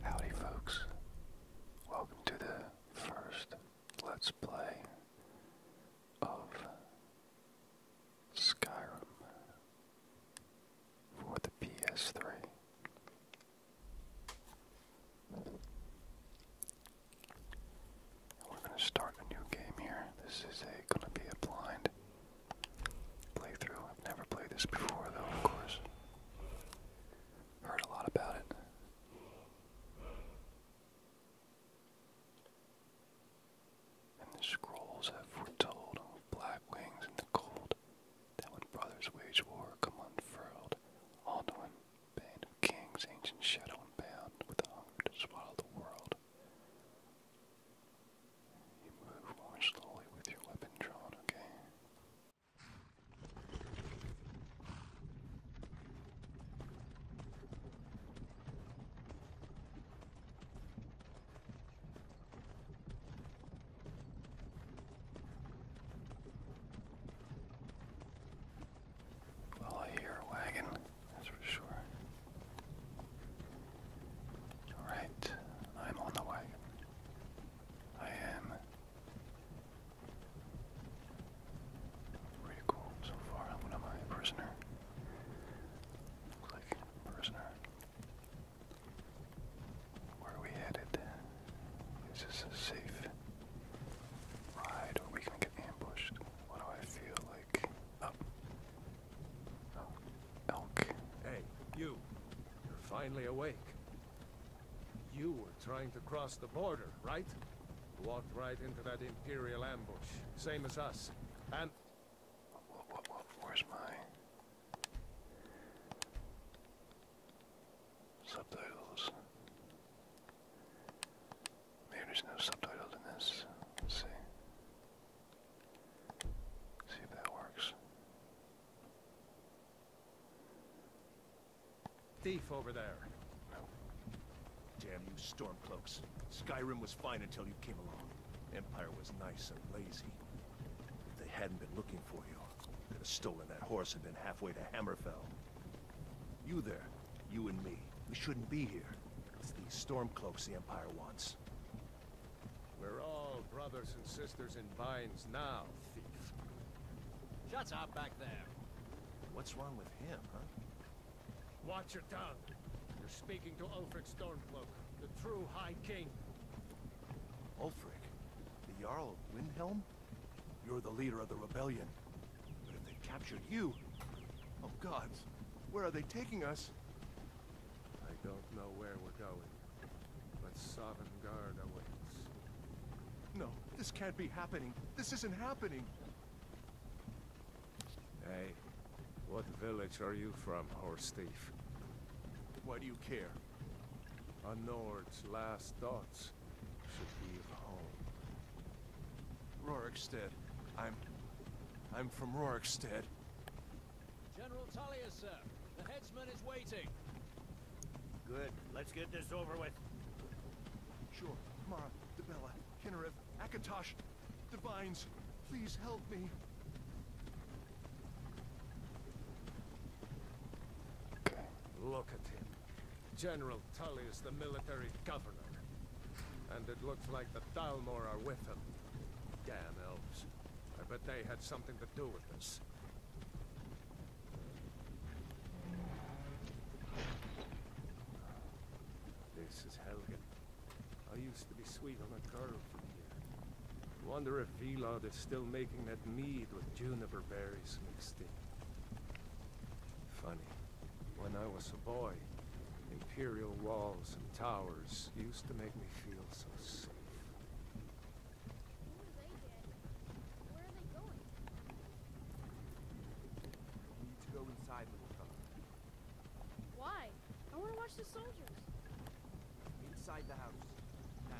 Howdy folks, welcome to the first Let's Play of Skyrim for the PS3. We're going to start a new game here. This is going to be a blind playthrough. I've never played this before, though, of course. Heard a lot about it. And the scrolls have foretold of black wings in the cold that when brothers wage war come unfurled, Alduin, band of kings, ancient shadow bound, with a hunger to swallow the world. You move more slowly with your weapon drawn, okay? Well, I hear a wagon, that's for sure. Alright, I'm on the way. I am pretty cool so far. What am I? A prisoner? Looks like prisoner. Where are we headed? Is this a safe ride or we gonna get ambushed? What do I feel like? Oh, Elk. Hey, you. You're finally awake. You were trying to cross the border, right? walked right into that Imperial ambush. Same as us. And... where's my... Subtitles. Maybe there's no subtitles Let's see. See if that works. Thief over there. Damn you stormcloaks. Skyrim was fine until you came along. Empire was nice and lazy. If they hadn't been looking for you, could have stolen that horse and been halfway to Hammerfell. You there, you and me, we shouldn't be here. It's the stormcloaks the Empire wants. We're all brothers and sisters in binds now, thief. Shut up back there. What's wrong with him, huh? Watch your tongue. You're speaking to Ulfric Stormcloak, the true High King. Ulfric? The Jarl of Windhelm? You're the leader of the rebellion. But if they captured you... Oh gods, where are they taking us? I don't know where we're going, but Sovngarde awaits. No, this can't be happening. This isn't happening. Hey, what village are you from, horse thief? Why do you care? A Nord's last thoughts should be of home. Rorikstead. I'm... I'm from Rorikstead. General Talia, sir. The headsman is waiting. Good. Let's get this over with. Sure. Mara, Debella, Kinnarev, Akatosh, Divines, please help me. Look at him. General Tully is the military governor. And it looks like the Dalmor are with him. Damn elves. I bet they had something to do with this. This is Helgen. I used to be sweet on a girl from here. Wonder if Velod is still making that mead with juniper berries mixed in. Funny. When I was a boy, imperial walls and towers used to make me feel so safe. Why? I want to watch the soldiers. Inside the house. Now.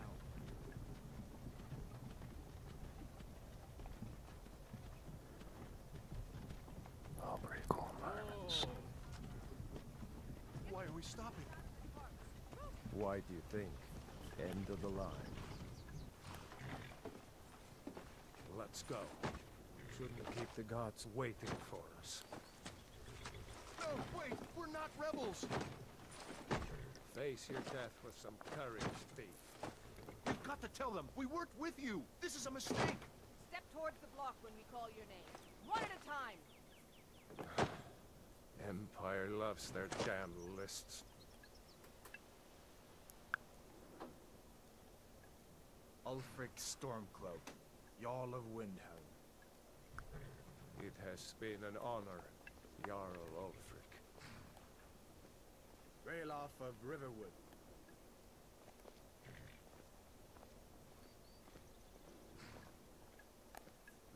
Oh, pretty cool environments. Why are we stopping? Why do you think? End of the line. Let's go. Shouldn't keep the gods waiting for us. No, wait! We're not rebels! Face your death with some courage, thief. We've got to tell them! We worked with you! This is a mistake! Step towards the block when we call your name. One at a time! Empire loves their damn lists. Ulfric Stormcloak, Jarl of Windhelm. It has been an honor, Jarl Ulfric. Raelof of Riverwood.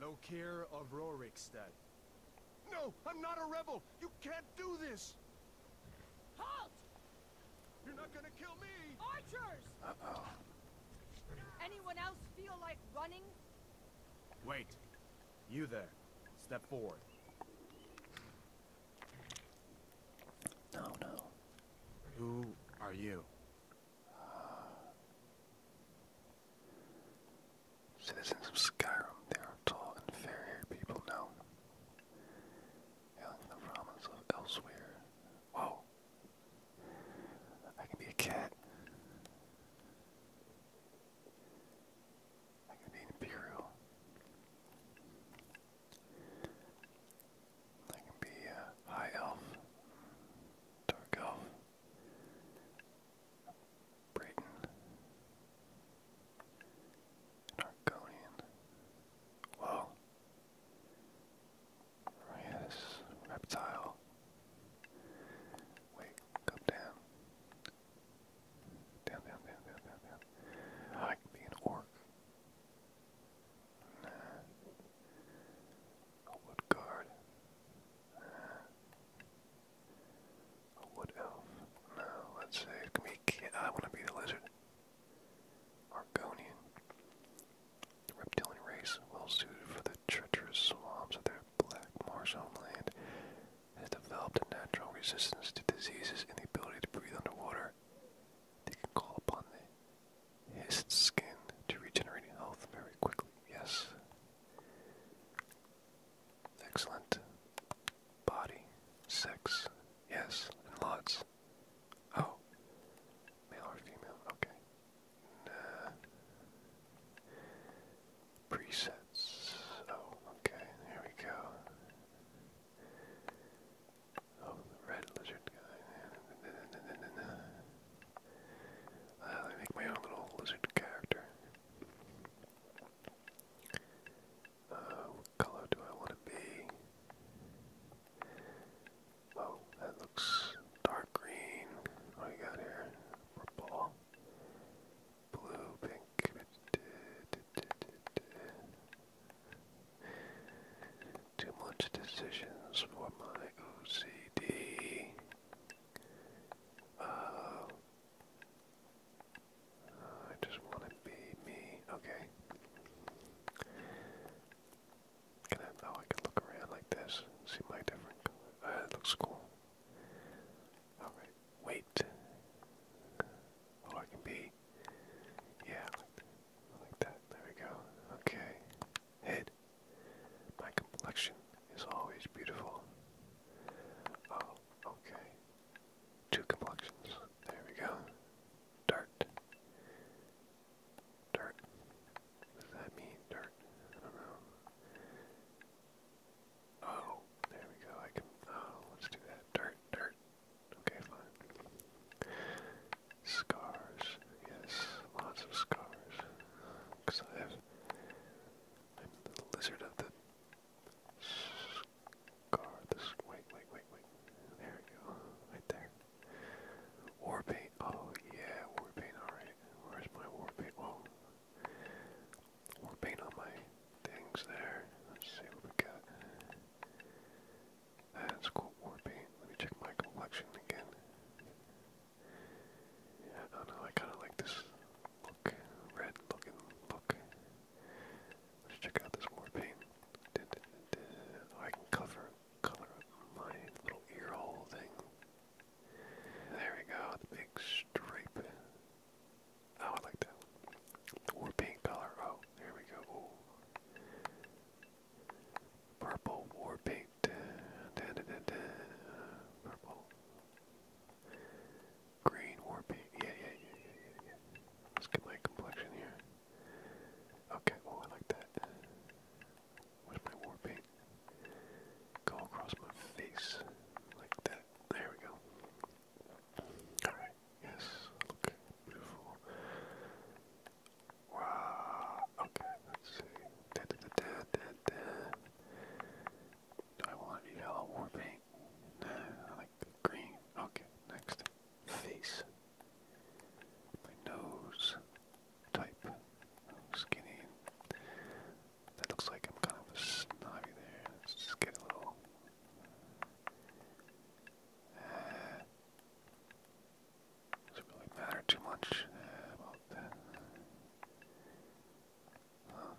Lokir of Rorikstad. No, I'm not a rebel! You can't do this! Halt! You're not gonna kill me! Archers! Anyone else feel like running? Wait. You there. Step forward. No, no. Who are you? Uh, Citizens of Skyrim, they are tall and fair-haired people now. Hailing the promise of elsewhere. Whoa! I can be a cat. I can be an imperial. I can be a high elf, dark elf. Brayton, Argonian. Whoa. Oh reptile. Wait, come down. Down, down, down, down, down, down. I can be an orc. Nah. A wood guard. a wood elf. No, let's say it can be I want to be the lizard. Argonian. reptilian race, well suited for the treacherous swamps of their black marsh homeland, has developed a natural resistance to diseases and the ability to breathe underwater. They can call upon the his skin to regenerate health very quickly. Yes. Excellent. Body. Sex. Yes. And lots. Oh. Male or female? Okay. Presets. Oh, okay. There we go. Oh, the red lizard guy. I make my own little lizard character. Uh, what color do I want to be? Oh, that looks dark green. What do we got here? Purple, blue, pink. Too much decisions for my OCD. Uh, I just want to be me. Okay. Can I, oh, I can look around like this see my different color. Uh, it looks cool. Alright, wait. Oh, I can be. Yeah, like that. There we go. Okay. Hit. My complexion is always beautiful. Oh, okay. Two complexions. There we go. Dirt. Dirt. What does that mean, dirt? I don't know. Oh, there we go. I can. Oh, let's do that. Dirt, dirt. Okay, fine. Scars. Yes, lots of scars because I have I'm the lizard of the scar. wait, wait, wait, wait. There we go, right there. War paint. Oh yeah, war paint. All right. Where's my war paint? Oh, war paint on my things there. Let's see what we got. That's cool war paint. Let me check my collection again. I don't know, I kinda like this look, red looking look. Let's check out this more paint. I can cover, color my little ear hole thing. There we go, the big stripe. Oh, I like that. Or paint color. Oh, there we go. Purple war paint purple, green, warpy. Yeah, yeah, yeah, yeah, yeah, Let's get my complexion here. Okay, oh, I like that. Where's my war paint? Go across my face like that. There we go. Alright, yes, look beautiful. Wow, okay, let's see. I want yellow or pink? No, I like green. Okay, next. Face. My nose type. Skinny. That looks like I'm kind of snobby there. just get a little. Uh, does it really matter too much uh, about that? Huh. Um,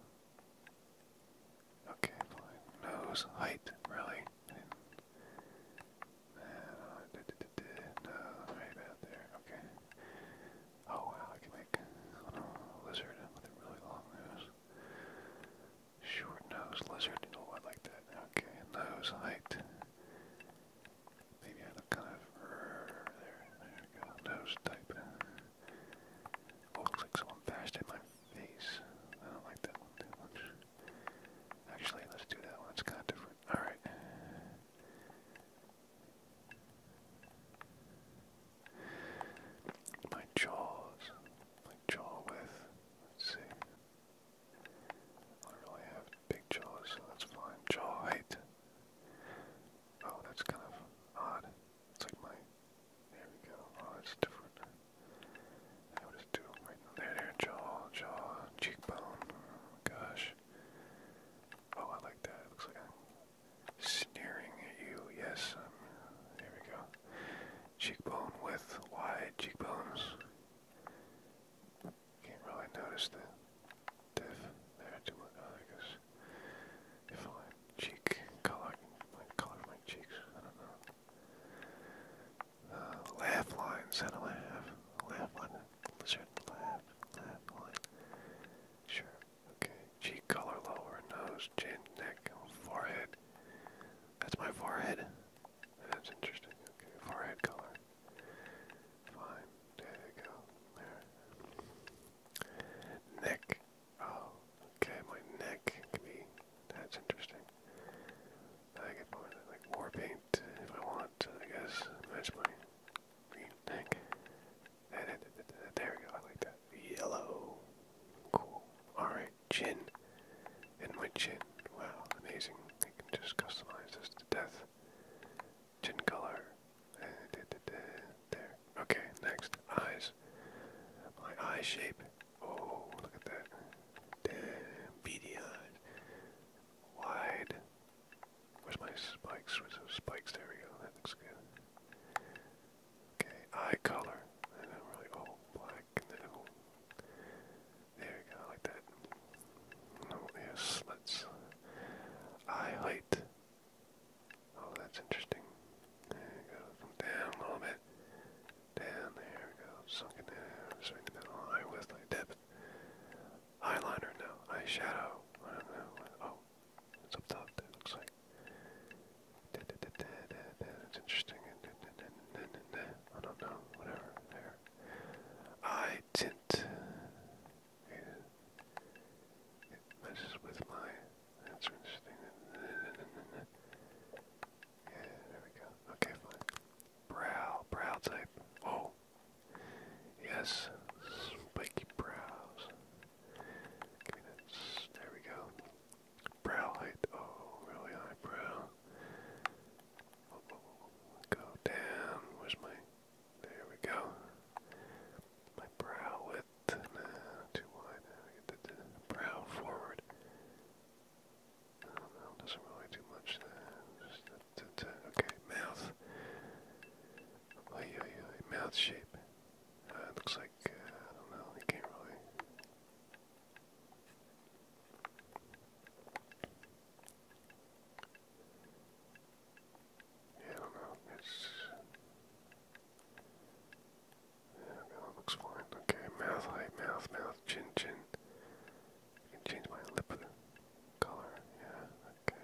okay, fine. Nose height, really. Uh, there. Okay. Oh wow, I can make a lizard with a really long nose. Short nose lizard. You know what, like that. Okay, nose height. Maybe I look kind of er, there. There we go. Oh, looks like someone bashed in my face. I don't like that one too much. Actually, let's do that one. It's kind of different. All right. My jaws, my jaw width. Let's see. I really have big jaws, that's fine. Jaw height. Oh, that's kind of odd. It's like my. There we go. Oh, that's different. I would just right there, there, jaw, jaw, cheekbone. Gosh. Oh, I like that. looks like sneering at you. Yes, There we go. Cheekbone with wide cheekbones. Can't really notice diff there too much. Oh, I guess. If cheek color, color my cheeks, I don't know. laugh lines, how do I Laugh line, lizard, laugh, laugh line. Sure, okay. Cheek color lower, nose, chin, neck, forehead. That's my forehead. That's interesting. Okay, forehead color. Fine. There you go. There. Neck. Oh, okay, my neck can be. That's interesting. I get more like war paint if I want. I guess match my green neck. There we go. I like that. Yellow. Cool. All right, chin. And my chin. Wow, amazing. I can just customize this to death. Chin color. Okay, next. Eyes. My eye shape. Oh, look at that. Damn, eyes. Wide. Where's my spikes? Where's those spikes? There we go. That looks good. Okay, eye color. And then really all oh, black. And then oh, there we go. like that. Oh, yes, Eye height. Oh, that's interesting. There we go. down a little bit. Down there we go. Sunken down. Just the middle. Eye with depth. Eyeliner, no. Eyeshadow. I don't know. Oh, it's up top. It looks like. Da, da, da, da, da, da. That's interesting. Da, da, da, da, da, da. I don't know. Whatever. There. Eye tint and it messes with my, that's interesting, yeah, there we go, okay, fine, brow, brow type, oh, yes, spiky brows, give me that, there we go, brow height, oh, really high brow, whoa, whoa, whoa, go down, where's my, there we go. My brow width, too wide. get the, brow forward. don't know, doesn't really do much there. Okay, mouth. Oh, yeah, yeah, mouth shape. Uh, looks like, uh, I don't know, you can't really. I don't know. It's yeah, that looks fine. Okay, mouth height, mouth, mouth, chin, chin. I can change my lip color. Yeah, okay.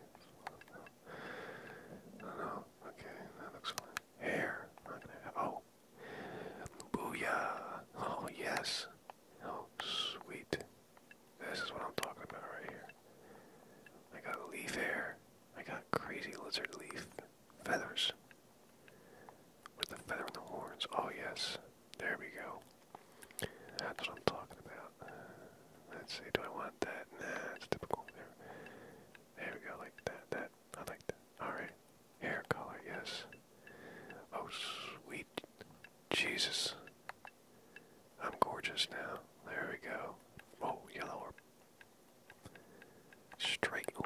I don't know. Okay, that looks fine. Hair. oh, booyah! Oh yes. Oh sweet. This is what I'm talking about right here. I got leaf hair. I got crazy lizard leaf feathers. With the feather and the horns. Oh, yes. There we go. That's what I'm talking about. Let's see. Do I want that? Nah, it's typical. There, we go. Like that. That. I like that. Alright. Hair color. Yes. Oh, sweet. Jesus. I'm gorgeous now. There we go. Oh, yellow Straight. Oh,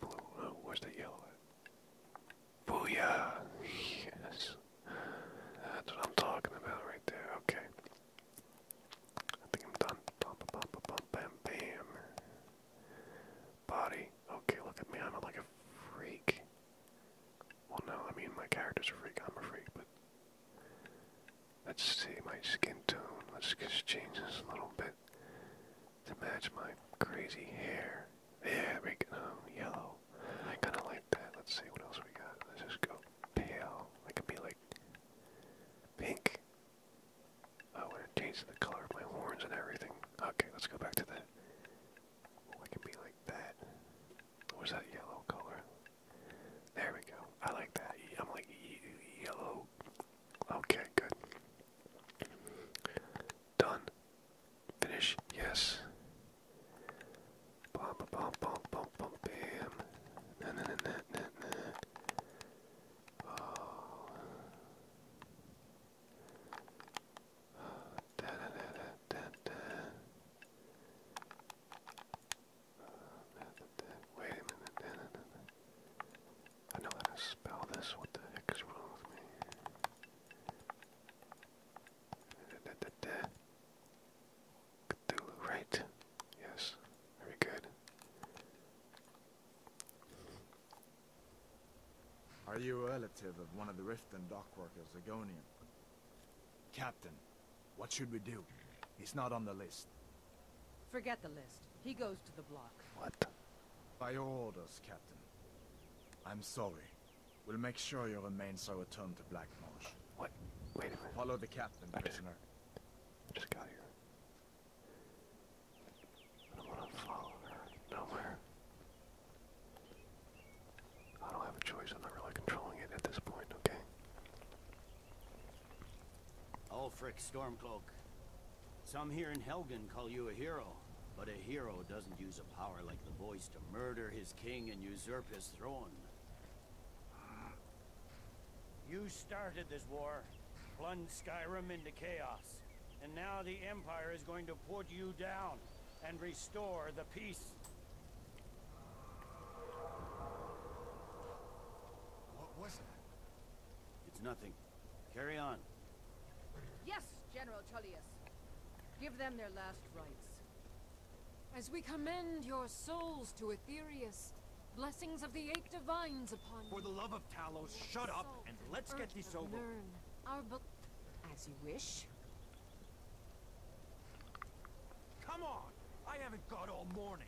blue. Oh, where's the yellow at? Booyah! Yes. That's what I'm talking about right there. Okay. I think I'm done. Bum, bum, bum, bum, bam, bam. Body. Okay, look at me. I'm like a freak. Well, no, I mean, my character's a freak. I'm a freak, but. Let's see my skin tone. Let's just change this a little bit to match my crazy hair. Yeah, we can, um, yellow. I kind of like that. Let's see what else we got. Let's just go pale. I could be like pink. I want to changed the color of my horns and everything. Okay, let's go back to that. I can be like that. Or that yellow color? There we go. I like that. I'm like yellow. Okay, good. Done. Finish. Yes. bam. Wait a minute. I know how to spell this. What the heck is wrong with me? right? Yes. Very good. Are you a relative of one of the Riften dock workers, Agonian? Captain, what should we do? He's not on the list. Forget the list. He goes to the block. What? By your orders, Captain. I'm sorry. We'll make sure your remains are returned to Black Marsh. What? Wait a minute. Follow the captain, prisoner. Just, got here. I don't want to follow nowhere. I don't have a choice. I'm not really controlling it at this point, okay? Ulfric Stormcloak. Some here in Helgen call you a hero, but a hero doesn't use a power like the voice to murder his king and usurp his throne. You started this war, plunged Skyrim into chaos, and now the Empire is going to put you down and restore the peace. What was that? It's nothing. Carry on. Yes, General Tullius. Give them their last rites. As we commend your souls to Aetherius, blessings of the eight divines upon you. For the love of Talos, shut up and let's get this over. Learn our book as you wish. Come on! I haven't got all morning.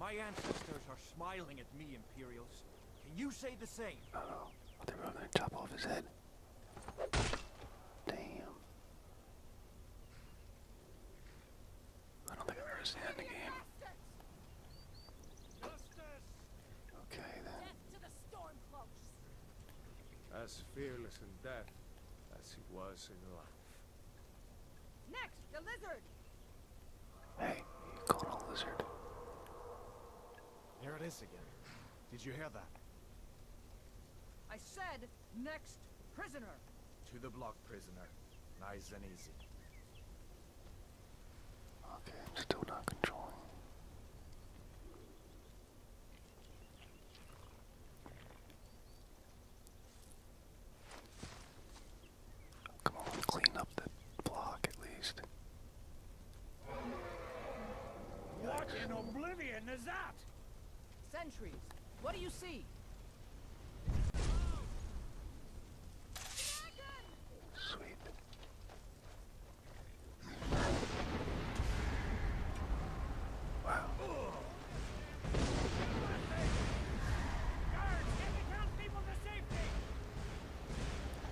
My ancestors are smiling at me, Imperials. Can you say the same? I do are gonna chop off his head. Damn. I don't think I've the game. Okay then. As fearless in death as he was in life. Next, the lizard! Hey, you calling a lizard? Here it is again. Did you hear that? I said, next prisoner. To the block, prisoner. Nice and easy. Okay, I'm still not controlling. Come on, clean up the block at least. What in oblivion is that? Sentries, what do you see? Sweet. Wow.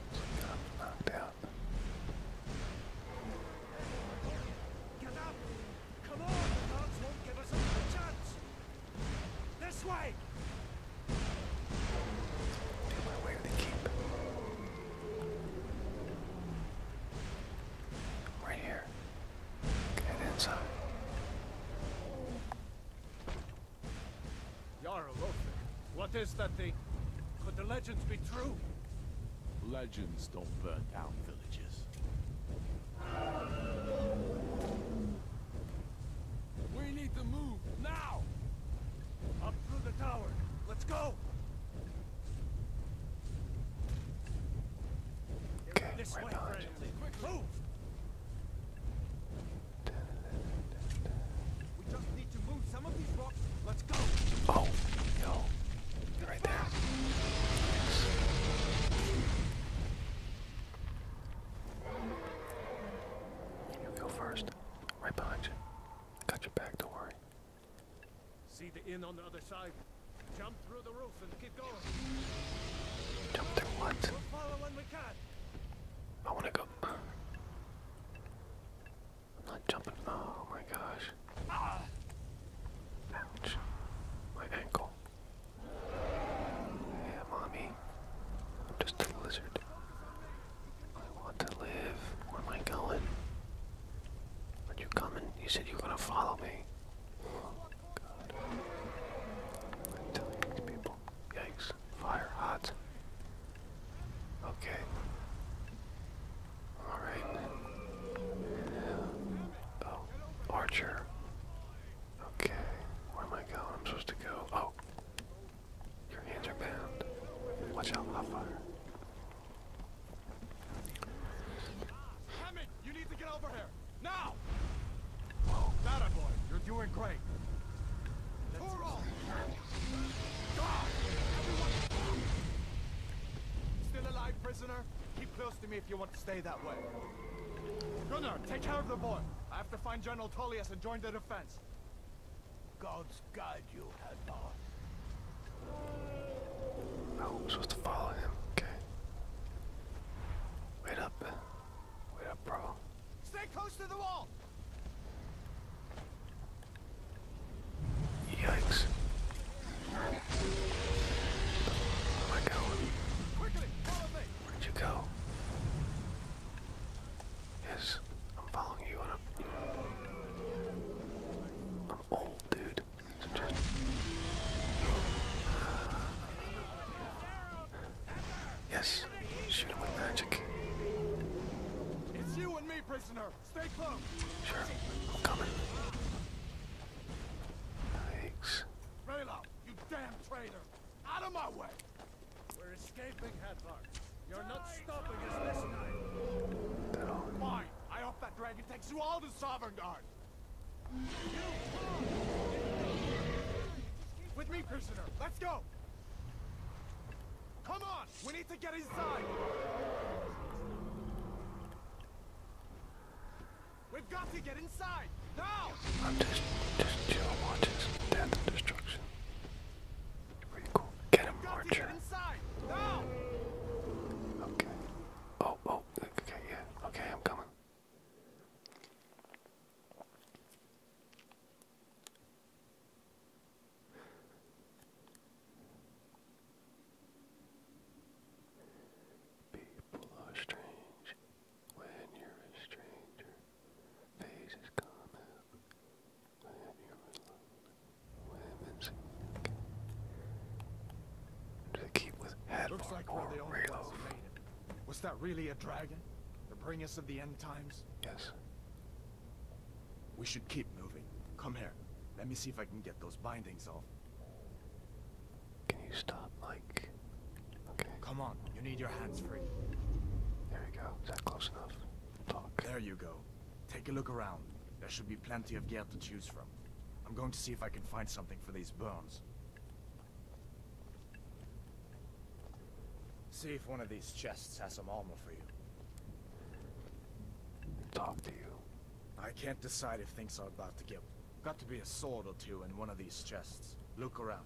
Got knocked out. Get up! Come on! The guards won't give us a chance! This way! Do my way to the keep. Right here. Get inside. Yara What is that thing? Could the legends be true? Legends don't burn down villages. We need to move now! Up through the tower. Let's go! Okay, right behind Let's go. Oh, yo. right there. You go first. Right behind Got your back, don't worry. See the inn on the other side. Jump through the roof and keep going. Jump through what? I wanna go. not jumping. Oh my gosh. My ankle. Yeah, mommy. I'm just a lizard. I want to live. Where am I going? But you coming? You said you were gonna follow me. god. I'm telling these people. Yikes. Fire hot. Okay. Alright. Oh, Archer. Okay. Where am I going? I'm supposed to go. Oh. Your hands are bound. Watch out, hot fire. Hammond, you need to get over here now. That you're doing great. Still alive, prisoner? Keep close to me if you want to stay that way. Gunnar, take care of the boy. I have to find General Tullius and join the defense. God gods you, Hadar. Oh, I'm supposed to follow him. Okay. Wait up. Uh, wait up, bro. Stay close to the wall! Yikes. Where am I going? Where'd you go? Yes, I'm following you and I'm, I'm always dude. Yes, shoot him with magic. It's you and me, prisoner. Stay close. Sure, I'm coming. Thanks. Rayloff, you damn traitor! Out of my way! We're escaping, Hathor. You're not stopping us this night. Fine, I dragon takes you all to Sovereign Guard! With me, prisoner! Let's go! Come on! We need to get inside! We've got to get inside! Now! I'm just, just chill watch this. Death and destruction. pretty cool. Get him, Archer. Okay. Oh, oh, okay, yeah. Okay, I'm coming. People are strange when you're a stranger. Faces come out when you're alone. To keep with head Looks like or Was that really a dragon? The bringers of the end times? Yes. We should keep moving. Come here. Let me see if I can get those bindings off. Can you stop, Mike? Okay. Come on. You need your hands free. There you go. Is that close enough? Talk. There you go. Take a look around. There should be plenty of gear to choose from. I'm going to see if I can find something for these burns. See if one of these chests has some armor for you. Talk to you. I can't decide if things are about to get... Got to be a sword or two in one of these chests. Look around.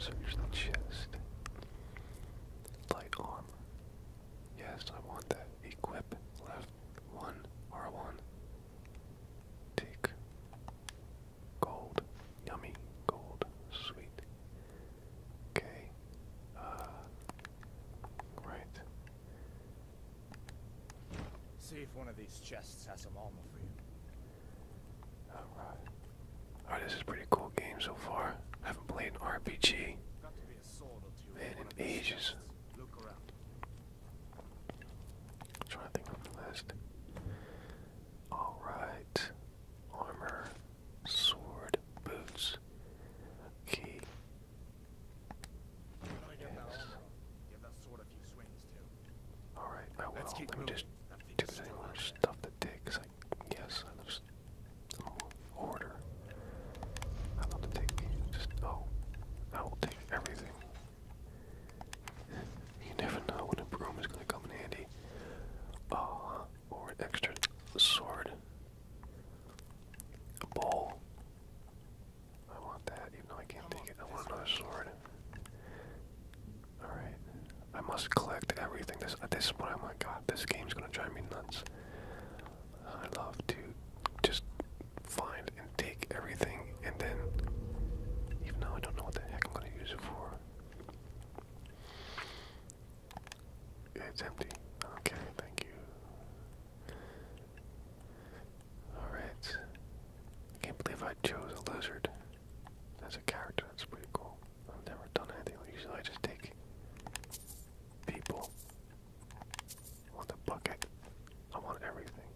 Search the chest. Light armor. Yes, I want that. Equip left one R1. Take gold. Yummy gold. Sweet. Okay. Uh right. See if one of these chests has some armor for you. Alright. Alright, this is pretty cool game so far. I haven't played RPG. Man, in ages. Look to think of the list. Alright. Armor, sword, boots, key. Yes. Alright, I will. let me just do the more stuff the dick because I just order. I love to take just oh, I will take everything. You never know when a broom is gonna come in handy. Oh, or an extra sword. A bowl. I want that, even though I can't take it. I want another sword. Alright. I must collect everything. This, this is what I'm God, this game's gonna drive me nuts. I love to just find and take everything, and then, even though I don't know what the heck I'm going to use it for, it's empty. Okay, thank you. Alright. I can't believe I chose a lizard as a character. That's pretty cool. I've never done anything. Usually I just take people. want the bucket. I want everything.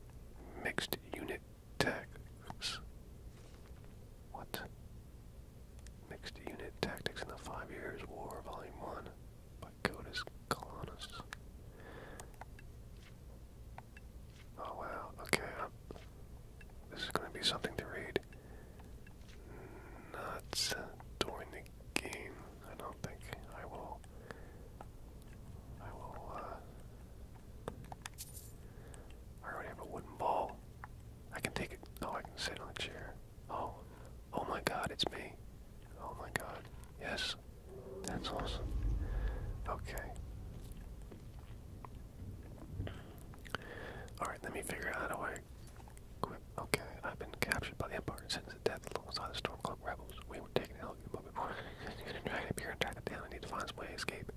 Mixed unit tactics. What? Mixed unit tactics in the Five Years War, Volume 1 by Codis Colonus. Oh wow, okay. Um, this is going to be something to read nuts during the game. I don't think I will. I will. Uh, I already have a wooden ball. I can take it. Oh, I can sit on a chair. Oh, oh my God, it's me. Oh my God, yes, that's awesome. Okay. All right, let me figure out how do I Okay, I've been captured by the Empire and sentenced to death alongside the Stormcloak rebels. We were taken to Helgen, but before we could drag it here and track it down, I need to find some way to escape.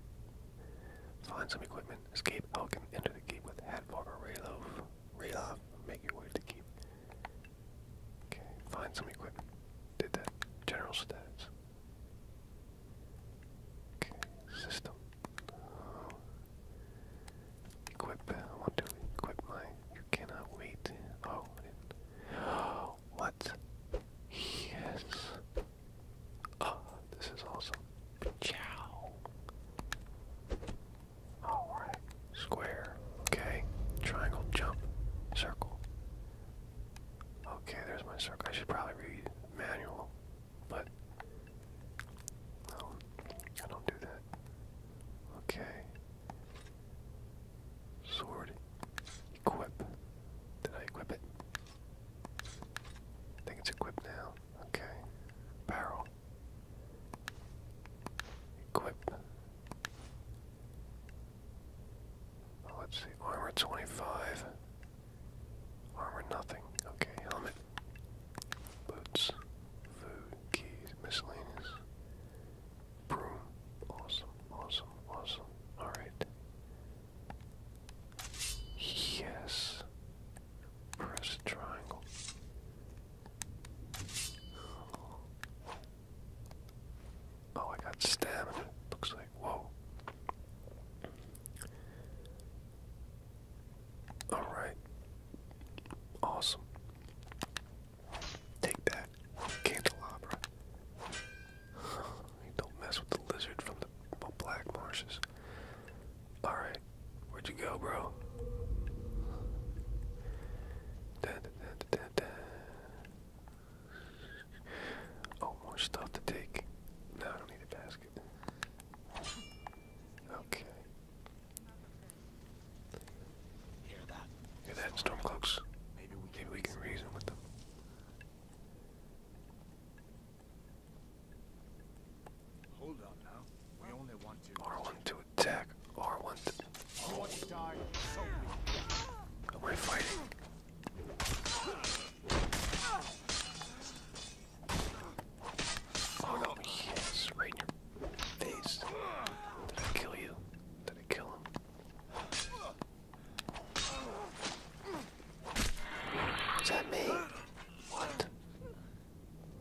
Find some equipment, escape Helgen, enter the keep with Hadvar or Raylof. Raylof, make your way to the keep. Okay, find some equipment. Did that. General status. Okay, system. Equip. want to equip my. You cannot wait. Oh, What? Yes. Oh, this is awesome. Ciao. Alright. Square. Okay. Triangle jump. Circle. Okay, there's my circle. I should probably read manual, but um, I don't do that. Okay. Sword. Equip. Did I equip it? I think it's equipped now. Okay. Barrel. Equip. Oh, let's see. Armor 25. Armor nothing. Okay. Helmet. Boots. Food miscellaneous. Broom. Awesome, awesome, awesome. Alright. Yes. Press triangle. Oh, I got stamina. Looks like, whoa. Alright. Awesome. Take that, candelabra. don't mess with the lizard from the Black Marshes. Alright, where'd you go, bro? Da, da, oh, to take. No, I don't need a basket. Okay. Hear that? Hear that, Stormcloaks? Maybe we, Maybe we can reason with them. Hold on now. We only want to R1 to attack. R1 to hold. Oh, we're fighting. Oh no, yes, right in your face. Did I kill you? Did I kill him? Is that me? What?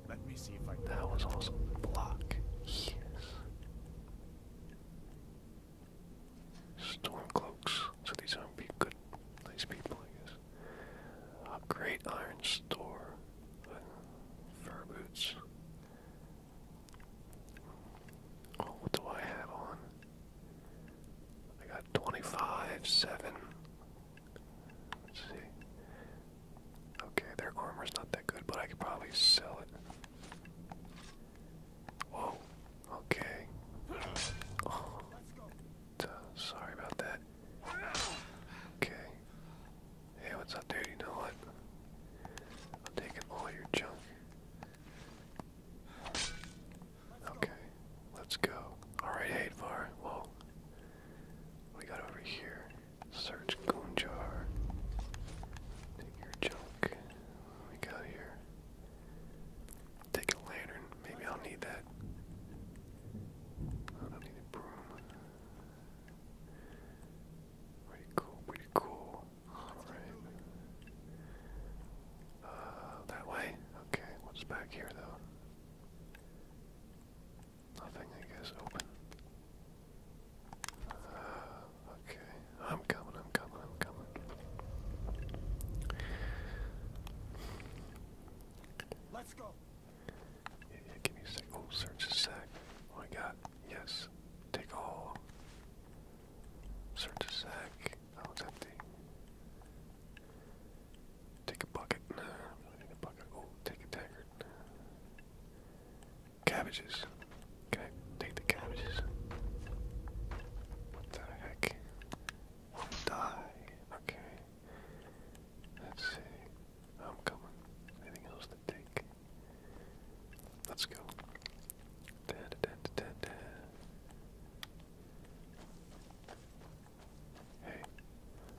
Let me see if I That was awesome. Block. Yes. Stormcloaks. So these aren't be good nice people, I guess. A great iron store. Fur boots. Oh, what do I have on? I got 25, 7. Let's see. Okay, their armor's not that good, but I could probably sell it. Whoa, okay. Oh, sorry about that. Okay, Hey, what's up, dude? You know what? I'm taking all your junk. Okay, let's go. Alright, Hadvar. Well, we got over here. Search Gunjar. Take your junk. we got here? Take a lantern. Maybe I'll need that. I don't need a broom. Pretty cool, pretty cool. Alright. Uh, that way? Okay, what's back here though? Nothing, I guess, open. Uh, okay, I'm coming, I'm coming, I'm coming. Let's go give me a sec. Oh, search a sack. Oh, I got. Yes. Take all. Search a sack. Oh, it's empty. Take a bucket. Nah, I a bucket. Oh, take a dagger. Cabbages. Can take the cabbages? What the heck? Die. Okay. Let's see. I'm coming. Anything else take. Let's go. Hey,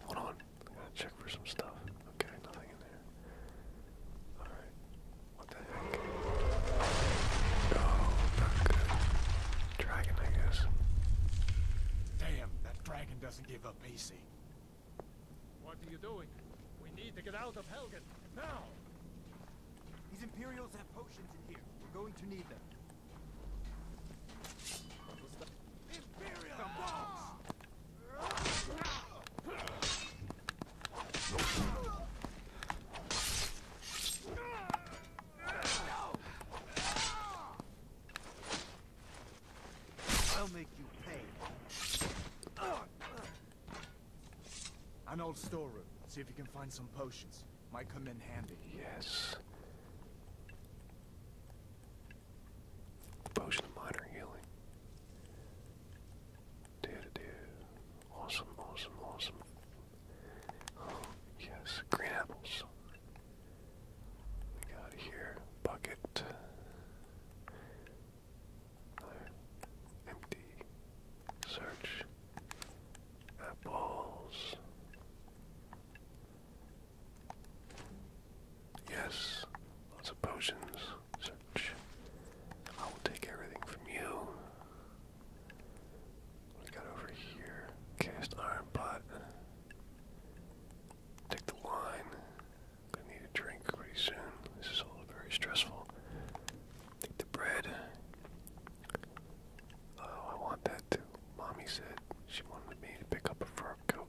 hold on. I gotta check for some stuff. Okay, nothing in there. Alright. What the heck? Oh, not good. Dragon, I guess. Damn, that dragon doesn't give up easy. What are you doing? We need to get out of Helgen, now! These Imperials have potions in here. We're going to need them. Imperial I'll make you pay. An old storeroom. See if you can find some potions. Might come in handy. Yes. Potion of minor healing. Do do do. Awesome, awesome, awesome. yes. Green apples. We got here. Bucket empty search. Apples. Yes, lots potions. Search. I will take everything from you. What we got over here? Cast iron pot. Take the line. I need a drink pretty soon. This is all very stressful. I think the bread. Oh, I want that too. Mommy said she wanted me to pick up a fur coat.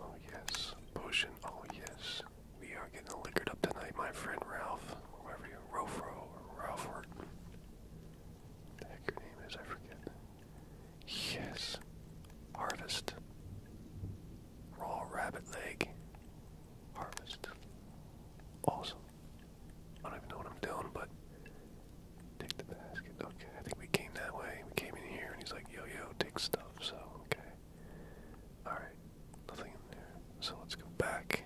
Oh yes, potion. Oh yes, we are getting liquored up tonight. My friend Ralph, whoever you, Rofro or Ralphward. The heck your name is, I forget. Yes. Harvest. Raw rabbit leg. Harvest. Awesome. I don't even know what I'm doing, but take the basket. Okay, I think we came that way. We came in here and he's like, yo, yo, take stuff. So, Alright. Nothing in there. So let's go back.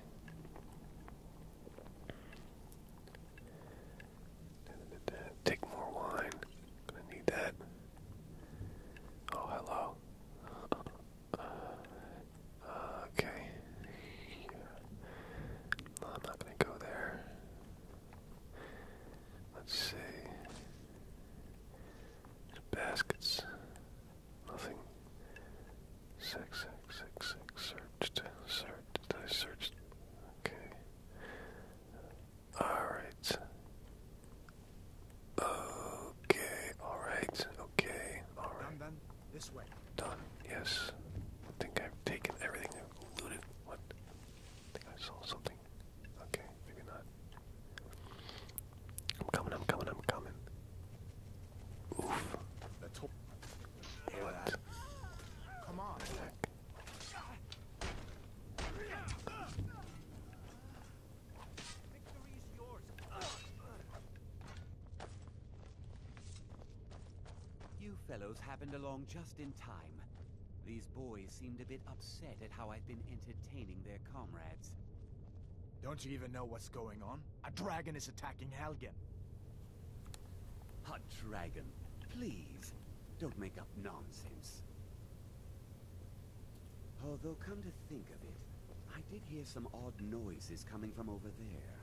Take more wine. Gonna need that. Oh, hello. okay. I'm not gonna go there. Let's see. baskets. Nothing. Six, six, six, six. Searched. Searched. I searched. Okay. Alright. Okay, alright, okay, alright. Done, done. This way. Done, yes. I think I've taken everything looted. What? think I saw something. Okay, maybe not. I'm coming, I'm coming, I'm coming. Oof. What? Come on. You fellows happened along just in time. These boys seemed a bit upset at how I've been entertaining their comrades. Don't you even know what's going on? A dragon is attacking Helgen. A dragon? Please, don't make up nonsense. Although, oh, come to think of it, I did hear some odd noises coming from over there.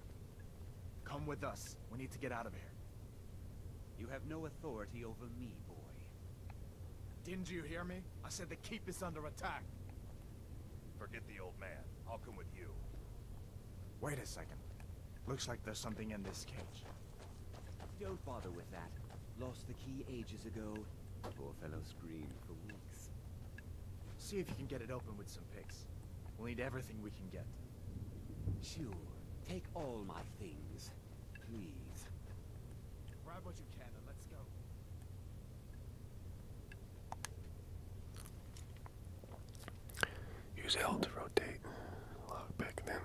Come with us. We need to get out of here. You have no authority over me, boy. Didn't you hear me? I said the keep is under attack. Forget the old man. I'll come with you. Wait a second. Looks like there's something in this cage. Don't bother with that. Lost the key ages ago. Poor fellow screamed for weeks. See if you can get it open with some picks. We'll need everything we can get. Sure. Take all my things. Please. Grab what you can and let's go. Use L to rotate. Lock back then.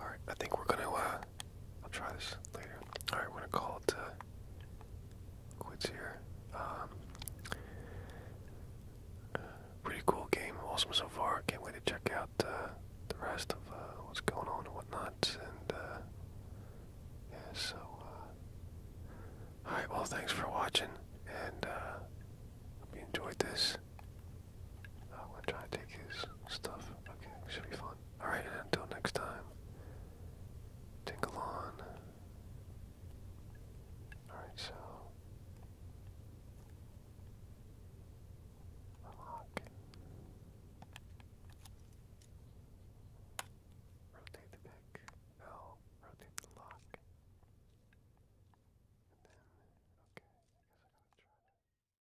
Alright, I think we're gonna uh, I'll try this later. All right, we're gonna call it uh, quits here. Um, pretty cool game, awesome so far. Can't wait to check out uh, the rest of uh, what's going on and whatnot. And yeah, so uh, all right. Well, thanks for watching, and uh, hope you enjoyed this. Oh, I'm gonna try and take his stuff. Okay, should be fun. Alright, until next time. Tingle on. Alright, so. Unlock. Rotate the pick. L. Rotate the lock. okay,